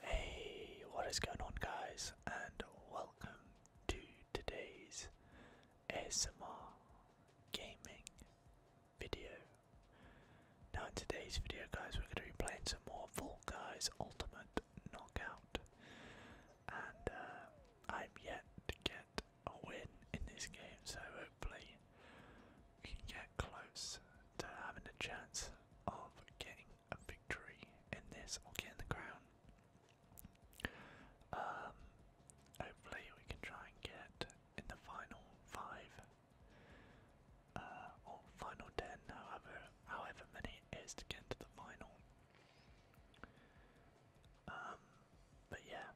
Hey, what is going on, guys, and welcome to today's SMR gaming video. Now in today's video guys we're going to be playing some more Fall Guys Ultimate Knockout. And uh, I'm yet to get a win in this game so hopefully we can get close to having a chance of getting a victory in this or getting the crown. Um, hopefully we can try and get in the final five uh, or final 10, however, however many it is to get into the final. Um, but yeah,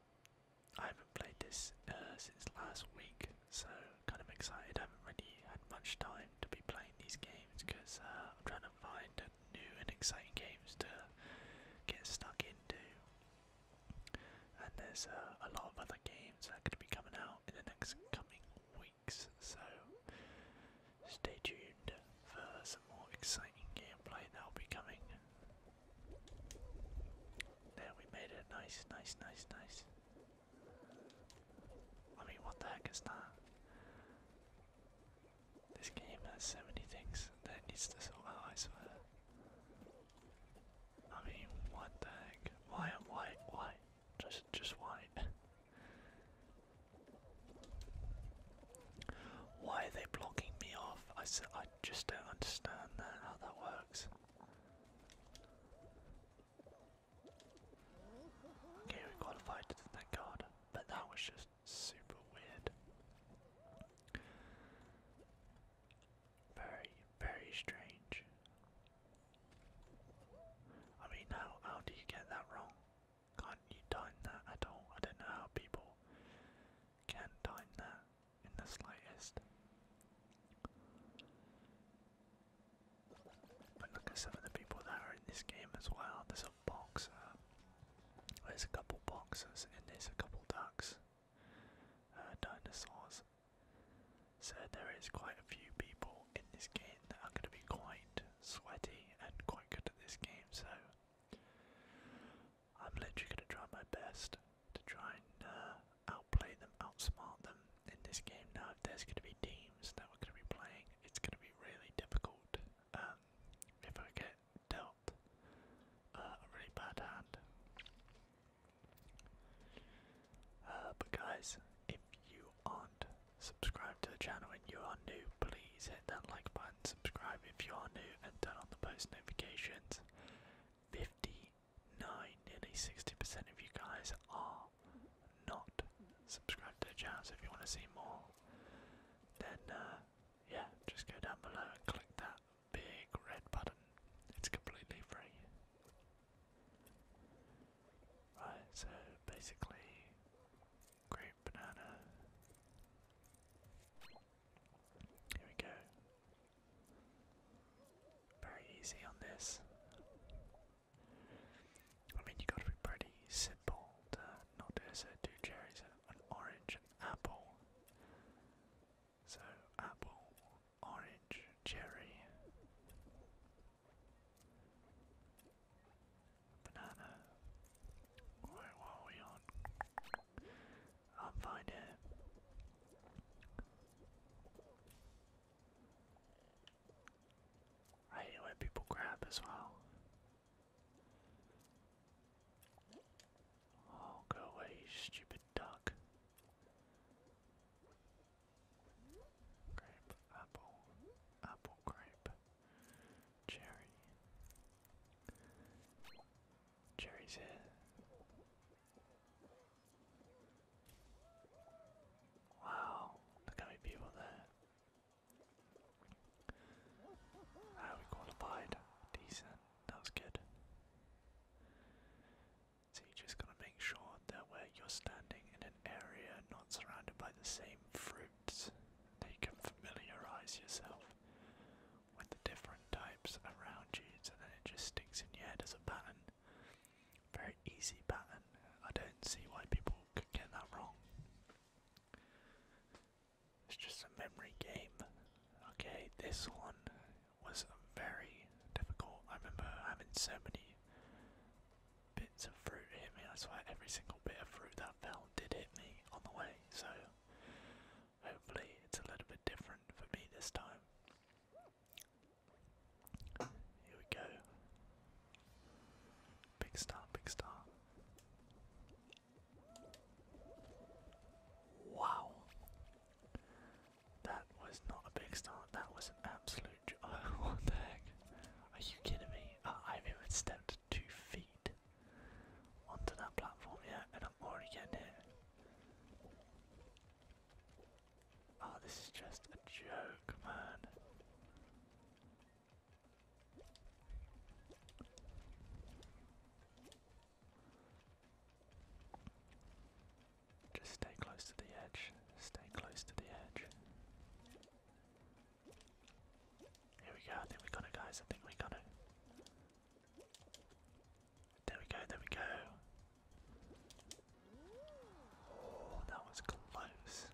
I haven't played this uh, since last week, so kind of excited. I haven't really had much time to be playing these games because uh, I'm trying to find new and exciting games to get stuck into. And there's uh, a lot of other games that are going to be coming out in the next coming weeks. So stay tuned for some more exciting gameplay that will be coming. There, we made it. Nice, nice, nice, nice. I mean, what the heck is that? This game has so many things that needs to sort out, I mean, what the heck? Why? Why? Why? Just, just why? why are they blocking me off? I said, I just don't understand how that works. Okay, we qualified. Thank God, but that was just super weird. Very, very strange. I mean, how, how do you get that wrong? Can't you time that at all? I don't know how people can time that in the slightest. But look at some of the people that are in this game as well. There's a boxer. There's a couple boxers and there's a couple ducks. Uh, dinosaurs. So there is quite a few people in this game that are going to be quite sweaty and quite good at this game. So I'm literally going to try my best to try and uh, outplay them, outsmart them in this game. Now, if there's going to be teams that we're going to be playing, it's going to be really difficult. Um, if I get dealt uh, a really bad hand, uh, but guys, if you aren't subscribed to the channel and you are new, please hit that like button, subscribe if you are new, and turn on the post notifications. 59, nearly 60% of you guys are not subscribed to the channel, so if you want to see more, then uh, yeah, just go down below and click that big red button. It's completely free. Right, so basically, grape, banana. Here we go. Very easy on this. I mean, you got to be pretty simple to not do so. Two cherries, an orange, an apple, so apple, orange, cherry, banana. Where are we on? I'll find I hate when people grab as well. Oh, go away, stupid duck. Grape, apple, apple, grape, cherry. Cherry's here. Wow, look how many people there. Ah, we qualified. Decent, that was good. So you just gotta make sure that where you're standing in an area not surrounded by the same fruits, that you can familiarize yourself with the different types around you, and then it just sticks in your head as a pattern. Very easy pattern. I don't see why people could get that wrong. It's just a memory game. Okay, this one was very difficult. I remember having so many bits of fruit hit me. That's why every single bit of fruit that fell did hit me on the way. So hopefully it's a little bit different for me this time. Here we go. Big star, big star. Wow. That was not a big start, that was an absolute j what the heck? Are you kidding me? I have even stepped two feet onto that platform yet and I'm already getting hit. Oh, this is just a joke, man. Just stay close to the edge. Stay close to the edge. Here we go, I think we got it guys, I think we got it. There we go, there we go. Oh, that was close.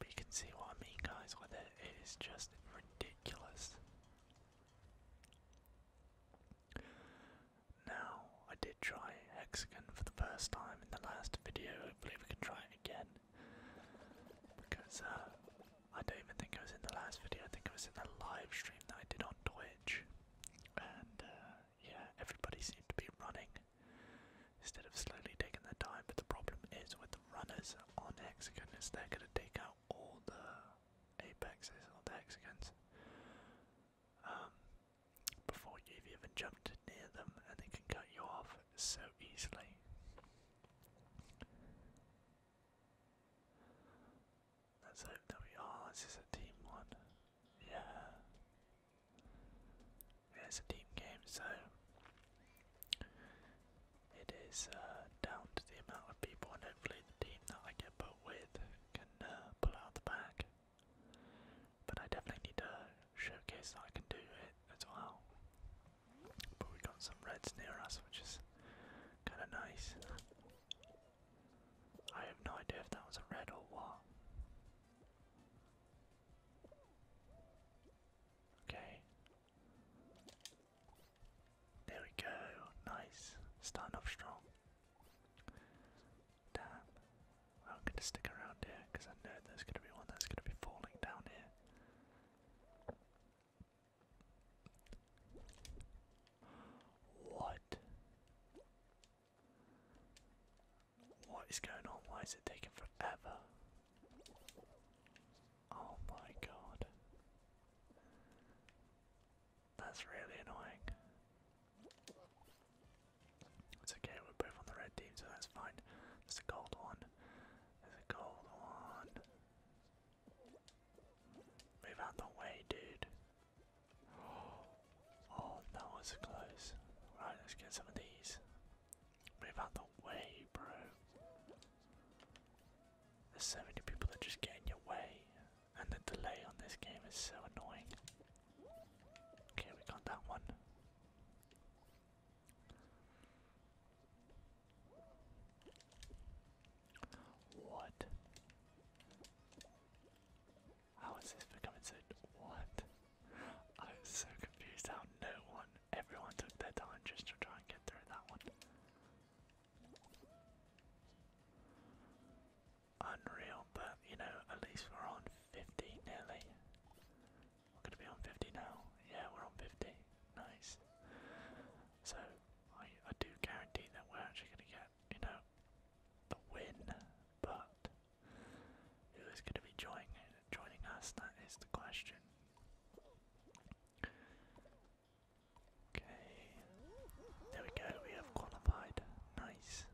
But you can see what I mean guys with it, it is just ridiculous. Now, I did try hexagon for the first time in the last video, I believe we can try it again. Because uh, I don't even think I was in the last video, I think I was in the live stream that I did on Twitch. And uh, yeah, everybody seemed to be running instead of slowly taking their time. But the problem is with the runners on hexagon is they're going to take out all the apexes all the hexagons. Um, before you even jumped near them and they can cut you off so easily. Let's we are. This is a team one. Yeah. it's a team game, so it is uh, down to the amount of people, and hopefully the team that I get put with can uh, pull out the back. But I definitely need to showcase that I can do it as well. But we got some reds near us, which is kind of nice. I have no idea if that was a red or what. Okay. There we go. Nice. Starting off strong. Damn. I'm gonna stick around here because I know there's gonna be one that's gonna be falling down here. What? What is going on? Why is it taking forever? Oh my god. That's really annoying. It's okay, we're both on the red team, so that's fine. There's a gold one. There's a gold one. Move out the way, dude. Oh, that was close. Right, let's get some of these. Move out the way, bro. There's so many people that just get in your way. And the delay on this game is so annoying. Okay, we got that one. What? How is this becoming so. What? I was so confused how no one, everyone took their time just to try and get through that one unreal, but you know, at least we're on 50 nearly. We're gonna be on 50 now. Yeah, we're on 50. Nice. So I, I do guarantee that we're actually gonna get, you know, the win, but who is gonna be joining joining us? That is the question. Okay. There we go, we have qualified. Nice.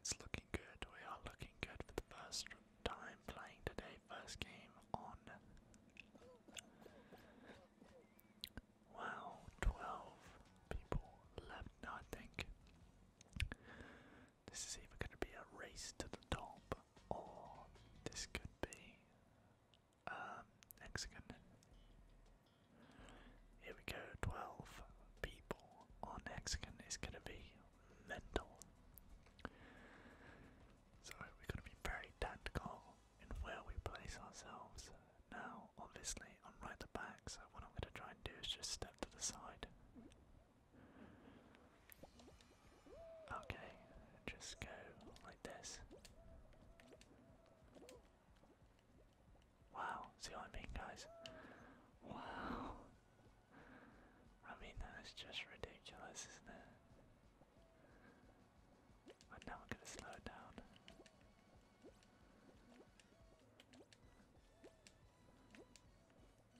It's looking good. We are looking good for the first time playing today. First game on. Wow, 12 people left I think. This is either going to be a race to the top, or this could be um, Here we go, 12 people on hexagon is going to be mental. So we're going to be very tactical in where we place ourselves. Now, obviously, I'm right at the back, so what I'm going to try and do is just step to the side. Okay, just go like this. Wow, see what I mean, guys? Wow. I mean, that is just ridiculous, isn't it? I'm now gonna slow down.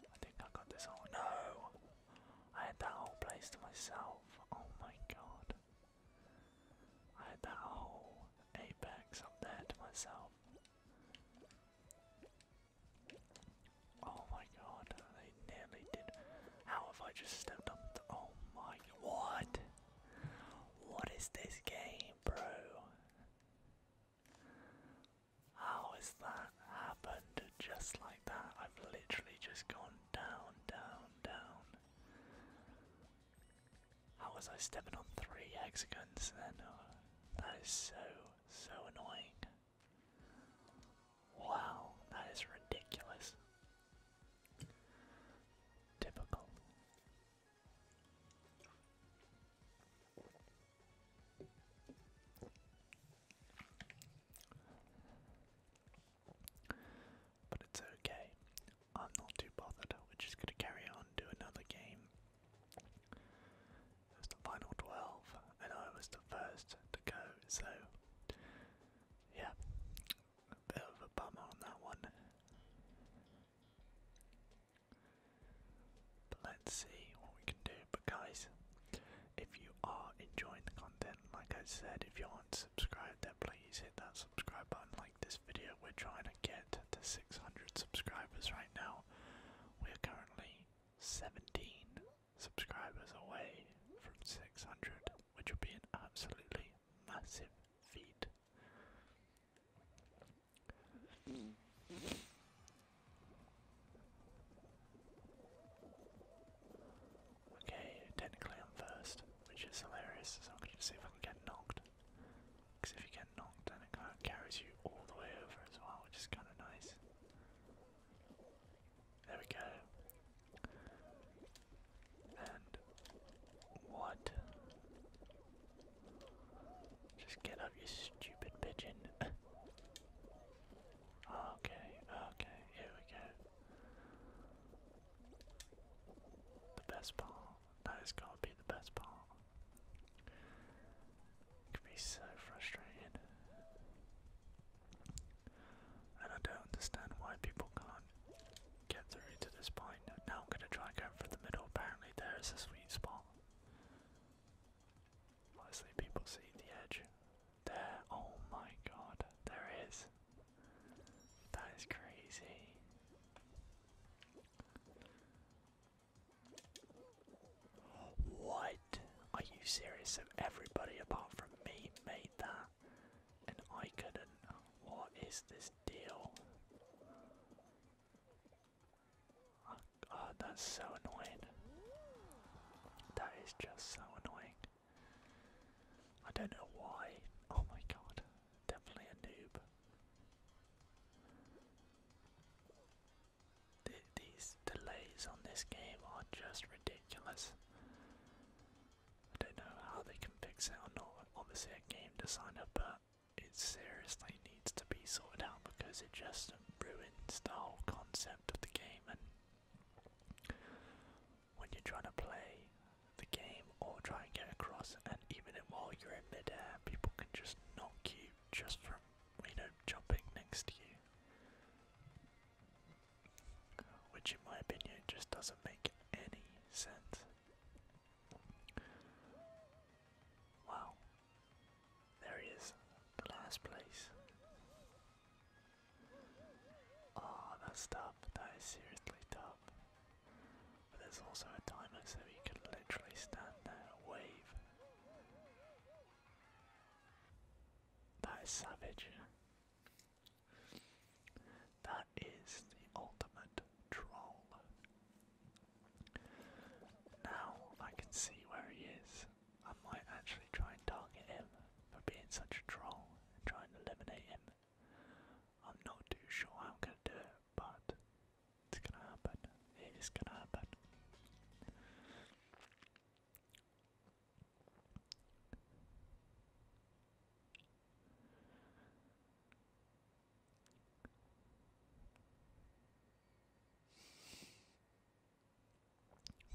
I think I got this whole- no! I had that whole place to myself. Oh my god. I had that whole apex up there to myself. Oh my god, they nearly did. How have I just stepped up Oh my. What? What is this game, bro? How has that happened just like that? I've literally just gone down, down, down. How was I stepping on three hexagons then? Oh, that is so, so annoying. Wow, that is ridiculous. Typical but it's okay. I'm not too bothered. We're just gonna carry on, do another game. It the final 12, and I was the first to go, so yeah, a bit of a bummer on that one. let's see what we can do. But guys, if you are enjoying the content, like I said, if you aren't subscribed, then please hit that subscribe button, this video. We're trying to get to 600 subscribers right now. We are currently 17 subscribers away from 600, which would be an absolutely massive feat. Okay, technically I'm first, which is hilarious, so I'm gonna see if I can get knocked. Because if you get knocked down, it kind of carries you all the way over as well, which is kind of nice. There we go. And what? Just get up, you stupid pigeon. okay, okay, here we go. The best part that is gonna be the best part. It can be so frustrating. And I don't understand why people can't get through to this point. Now I'm gonna try going for the middle, apparently there is a sweet spot. Honestly, people see the edge. There, oh my god, there is. That is crazy. What? Are you serious? So everybody apart from me made that, and I couldn't. What is this deal? God, oh, that's so annoying. That is just so annoying. I don't know why. Oh my god. Definitely a noob. these delays on this game are just ridiculous. I don't know how they can fix it or not. Obviously, a game designer, but it seriously needs to be sorted out because it just ruins the whole concept of the game. And when you're trying to play the game or try and get across and even while you're in midair people can just knock you just from you know jumping next to you. Which in my opinion just doesn't make any sense. Wow. There he is, the last place. Oh, that's tough. That is seriously tough. But there's also a timer so you can literally stand there and wave. That is savage. That is the ultimate troll. Now I can see where he is. I might actually try and target him for being such a troll and try and eliminate him. I'm not too sure how I'm gonna do it, but it's gonna happen. It is gonna happen.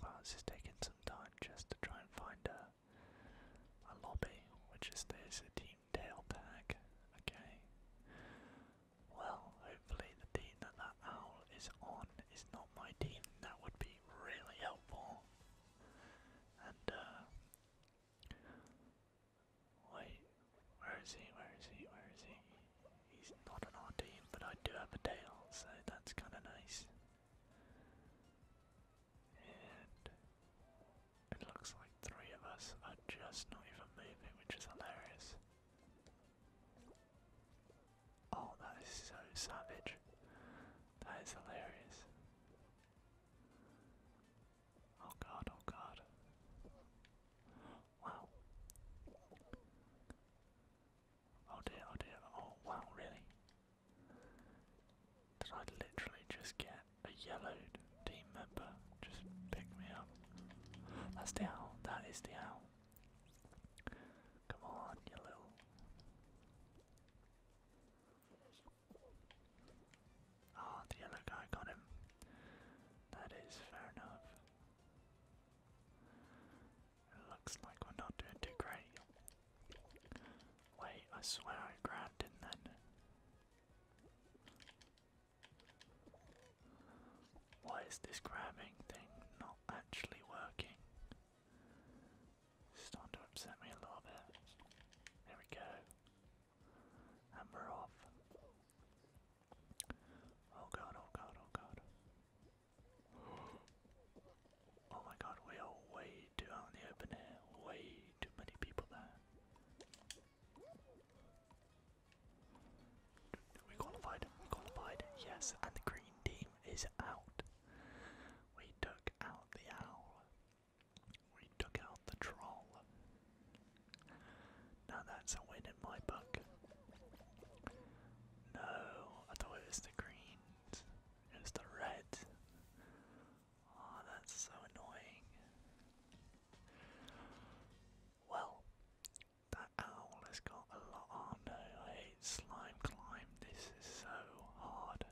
Well, this is taking some time just to try and find a, a lobby, which is there's a team tail tag. Okay. Well, hopefully the team that that owl is on is not my team. That would be really helpful. And uh, wait, where is he? Where is he? Where is he? He's not on our team, but I do have a tail, so that's kind of nice. And it looks like three of us are just not even moving, which is hilarious. Oh, that is so savage. That is hilarious. Oh god, oh god. Wow. Oh dear, oh dear, oh wow, really? Did I literally just get a yellowed team member? Just pick me up. That's the owl. That is the owl. Come on, you Ah, the yellow guy got him. That is fair enough. It looks like we're not doing too great. Wait, I swear I grabbed him then. Why is this grabbing thing not actually working? starting to upset me a little bit. There we go. And we're off. Oh god, oh god, oh god. Oh my god, we are way too out in the open air. Way too many people there. We qualified, we qualified, yes, and the green team is out. We took out the owl. We took out the troll. Now that's a win in my book. No, I thought it was the greens. It was the red. Oh, ah, that's so annoying. Well, that owl has got a lot on. Oh, no, I hate slime climb. This is so hard.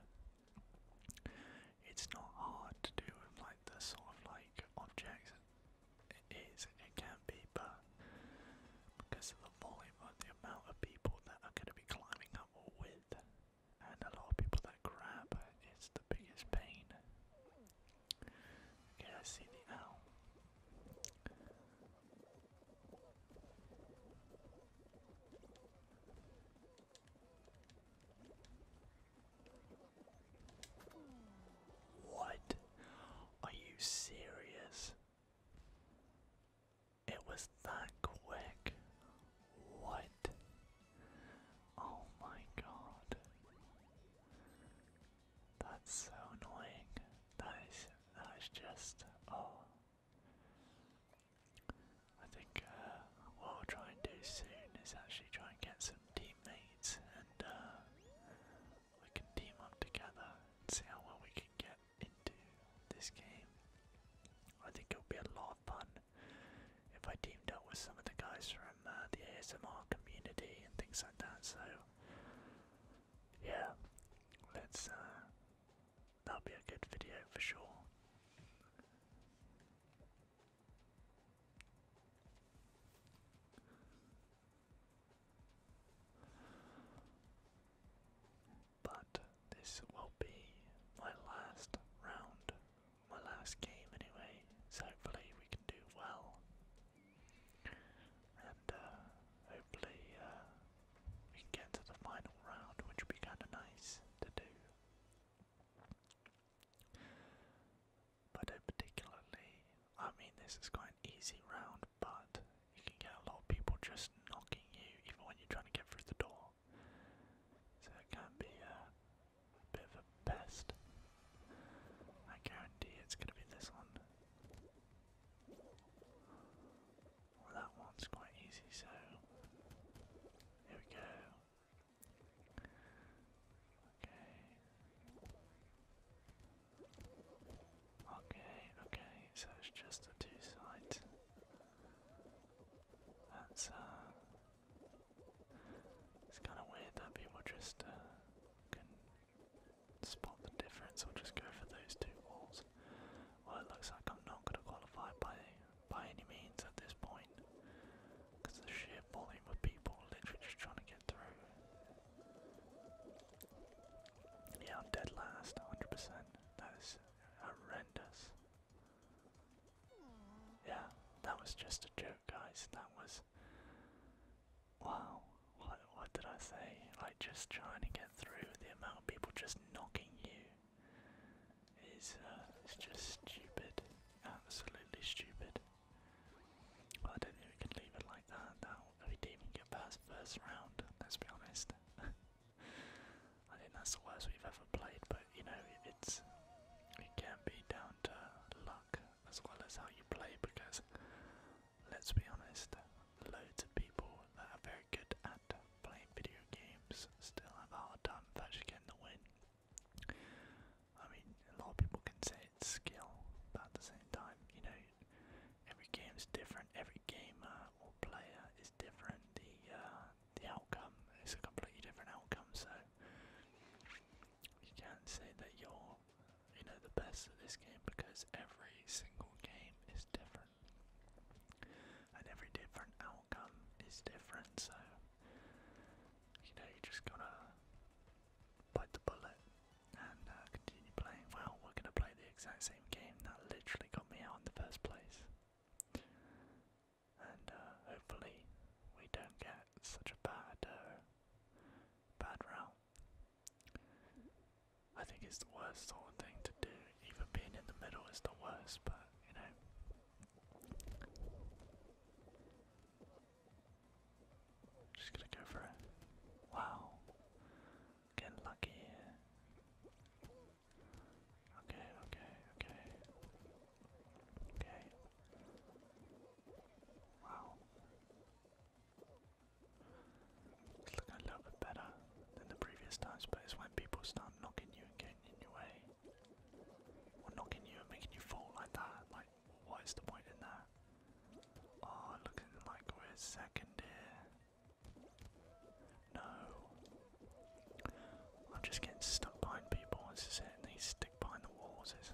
It's not hard to do with like the sort of like objects. It is, it can be, but because of the volume of the amount of people that are going to be climbing up with, and a lot of people that grab is the biggest pain. Okay, I see the owl. What? Are you serious? It was that quick. What? Oh my god. That's so annoying. That is, that is just, oh. I think uh, what I'll try and do soon is actually try and get some teammates and uh, we can team up together see how well we can get into this game. I think it'll be a lot of fun if I teamed up with some of the guys from uh, the ASMR community and things like that. So yeah, let's. Uh, that'll be a good video for sure. But this will be my last round my last game anyway, so hopefully we can do well. And uh, hopefully uh, we can get to the final round, which would be kind of nice to do. But particularly, I mean this is quite an easy round, but you can get a lot of people just knocking you even when you're trying to get through the door. So it can be uh, bit of a pest. I guarantee it's gonna be this one. that one's quite easy, so here we go. Okay. Okay, okay, so it's just the two sides. That's uh, it's kind of weird that people just uh, can spot the difference or just go for those two walls. Well, it looks like I'm not going to qualify by by any means at this point, because the sheer volume of people literally trying to get through. Yeah, I'm dead last, 100%. That is horrendous. Yeah, that was just a joke guys. That was wow. What what did I say? Like just trying to get through the amount of people just knocking you is uh, it's just stupid. Absolutely stupid. Well, I don't think we can leave it like that. That we didn't even get past first round. Let's be honest. I think that's the worst we've ever played. But you know, it's it can be down down to luck as well as how you play because let's be honest, loads of people that are very good at playing video games still have a hard time of actually getting the win. I mean, a lot of people can say it's skill, but at the same time, you know, every game's different, every gamer or player is different, the uh, the outcome is a completely different outcome, so you can't say that you're, you know, the best at this game because every single game is different, and every different outcome is different. So, you know, you just gotta bite the bullet and uh, continue playing. Well, we're gonna play the exact same game that literally got me out in the first place and uh, hopefully we don't get such a bad, uh, bad route. I think it's the worst sort of thing to do. Even being in the middle is the worst, but you know. Just gonna go for it. Wow. Getting lucky here. Okay, okay, okay. Okay. Wow. It's looking a little bit better than the previous times, but it's when people start knocking you and getting in your way. Or knocking you and making you fall like that. Like, what is the point in that? Oh, looking like we're second here. No. I'm just getting stuck behind people and sitting these behind the walls is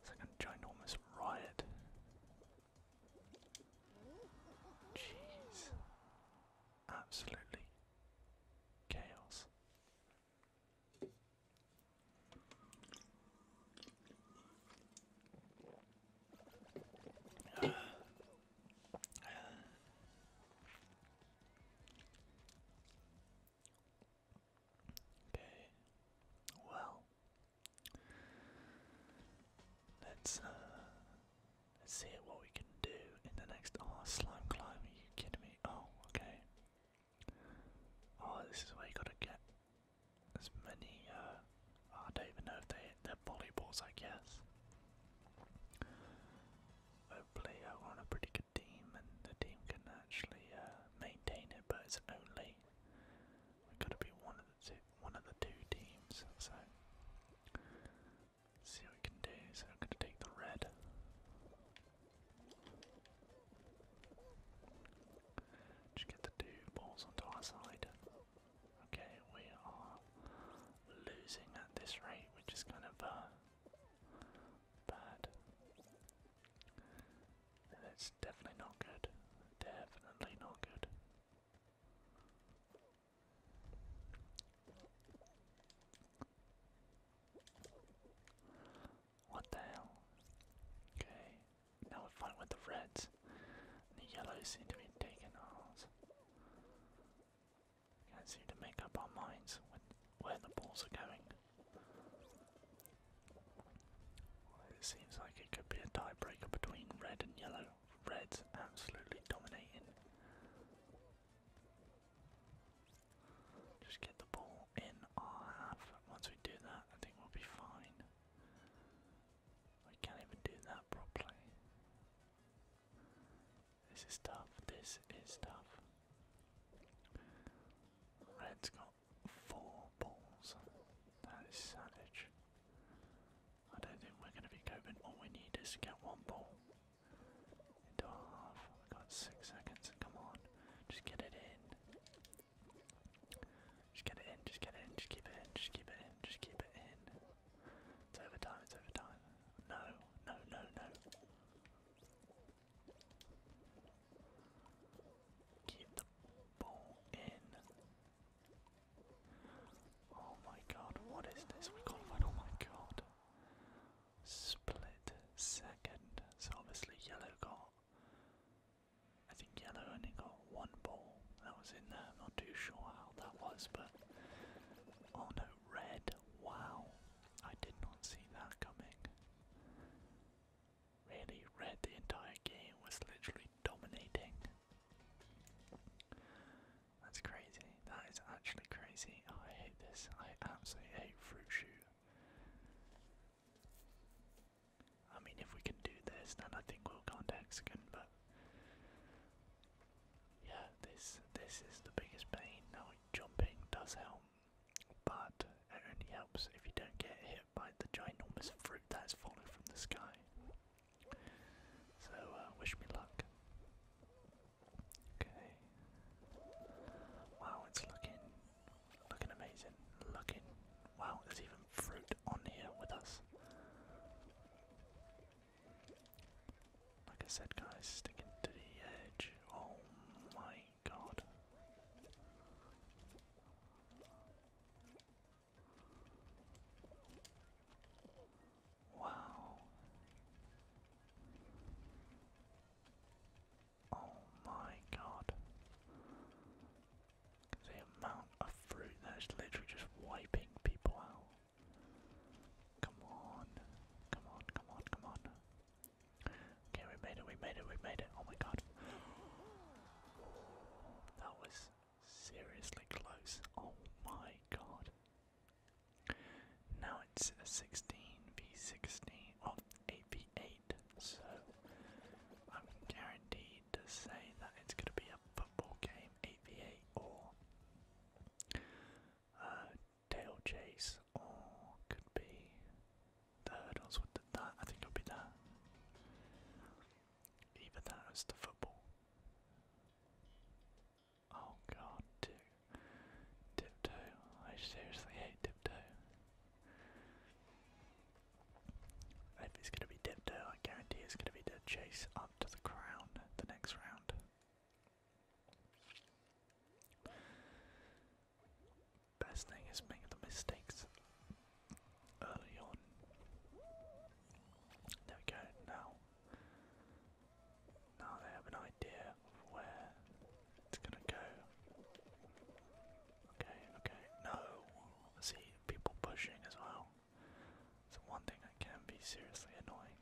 it's like a ginormous riot. Jeez. Absolutely chaos. Okay. Well. Uh, let's see what we can do in the next Oh slime climb, you kidding me? Oh, okay. Oh this is where you gotta get as many uh, I don't even know if they they're volleyballs I guess. Hopefully uh, we on a pretty team, and the team can actually uh, maintain it. But it's only we've got to be one of the two, one of the two teams. So see what we can do. So I'm going to take the red. Just get the two balls onto our side. Okay, we are losing at this rate, which is kind of uh, bad. And it's definitely not good. Definitely not good. What the hell? Okay, now we're fighting with the reds. The yellows seem to be taking ours. Can't seem to make up our minds with where the balls are going. It seems like it could be a tiebreaker between red and yellow. Red's absolutely dominating. Just get the ball in our half. Once we do that, I think we'll be fine. I can't even do that properly. This is tough. This is tough. Red's got four balls. That is savage. I don't think we're going to be coping. All we need is to get one ball into our half. We've got six seconds. Come on. Just get it in. Just get it in. Just get it in. Just keep it in. Just keep it in. Just keep it in. It's overtime. It's overtime. No. No, no, no. Get the ball in. Oh my god, what is this? We can't Oh my god. Split second. So obviously, yellow got. I think yellow only got one ball that was in there. not too sure how that was, but. Oh no, red. Wow. I did not see that coming. Really, Red the entire game was literally dominating. That's crazy. That is actually crazy. I hate this. I absolutely hate fruit shoot. I mean, if we can do this, then I think we'll go on to Hexagon, but. Yeah, this this is the biggest pain. Now jumping does help, but it only helps if you don't get hit by the ginormous fruit that is falling from the sky. So, uh, wish me luck. Okay. Wow, it's looking, looking amazing. Looking. Wow, there's even fruit on here with us. Like I said, guys, sticking to the edge. Oh my god. Wow. Oh my god. The amount of fruit that is literally just wiping people out. Come on. Come on, come on, come on. Okay, we made it, we made it, we made it. Oh my god. That was seriously close. Oh my god. Now it's 16v16, well, 8v8, so I'm guaranteed to say that it's going to be a football game, 8v8, or uh, tail chase, or oh, could be the hurdles with the, that. I think it'll be that. Either that or the football. Oh god, too. Tiptoe. I seriously hate dip. If it's gonna be tiptoe, I guarantee it's gonna be the chase up to the crown the next round. Best thing is make the mistakes early on. There we go, now. Now they have an idea where it's gonna go. Okay, okay, no. See, people pushing as well. It's one thing that can be seriously annoying.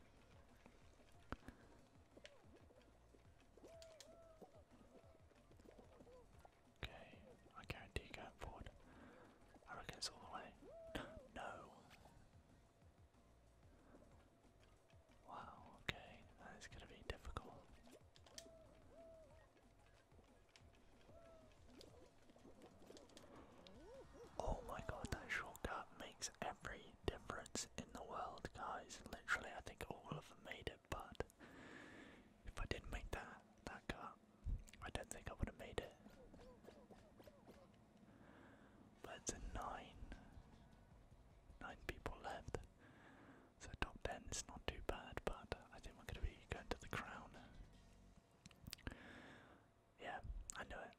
Okay, I guarantee going forward. I reckon it's all the way. no! Wow, okay, that is gonna be difficult. Oh my god, that shortcut makes every difference in the world, guys. Literally, I think all of them made it but if I didn't make that that cut, I don't think I would have made it. But a nine. Nine people left. So top ten is not too bad, but I think we're gonna be going to the crown. Yeah, I know it.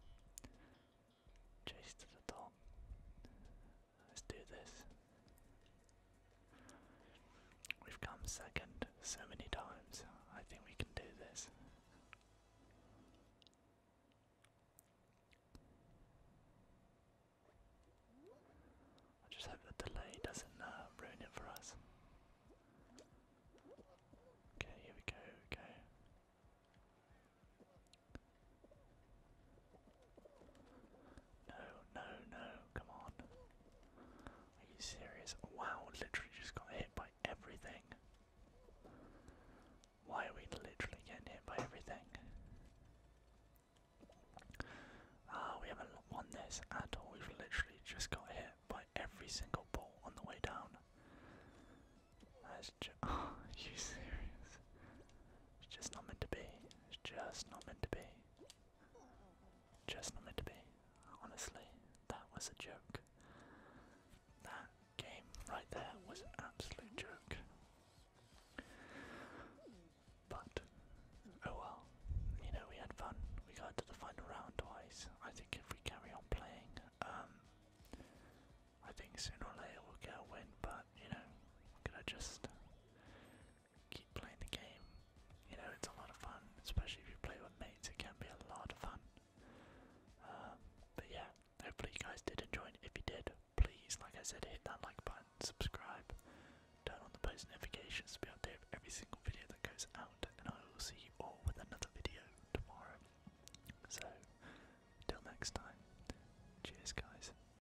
Chase to the top. Let's do this. We've come second so many times. I think we can do this. I just hope the delay doesn't uh, ruin it for us. Okay, here we go, go. No, no, no, come on. Are you serious? Wow, literally just got hit by everything. Why are we literally getting hit by everything? Ah, we haven't won this at all. We've literally just got hit by every single ball on the way down. are you serious? It's just not meant to be. It's just not meant to be. Just not meant to be. Honestly, that was a joke. That game right there was an absolute joke. But, oh well. You know, we had fun. We got to the final round twice. I think if we carry on playing, um, I think sooner or later we'll get a win, but you know, going I just keep playing the game. You know, it's a lot of fun, especially if you play with mates, it can be a lot of fun. Um, but yeah, hopefully you guys did enjoy it. If you did, please, like I said, hit that like button, subscribe, turn on the post notifications to be updated with every single video that goes out, and I will see you all with another video tomorrow. So, till next time, cheers guys,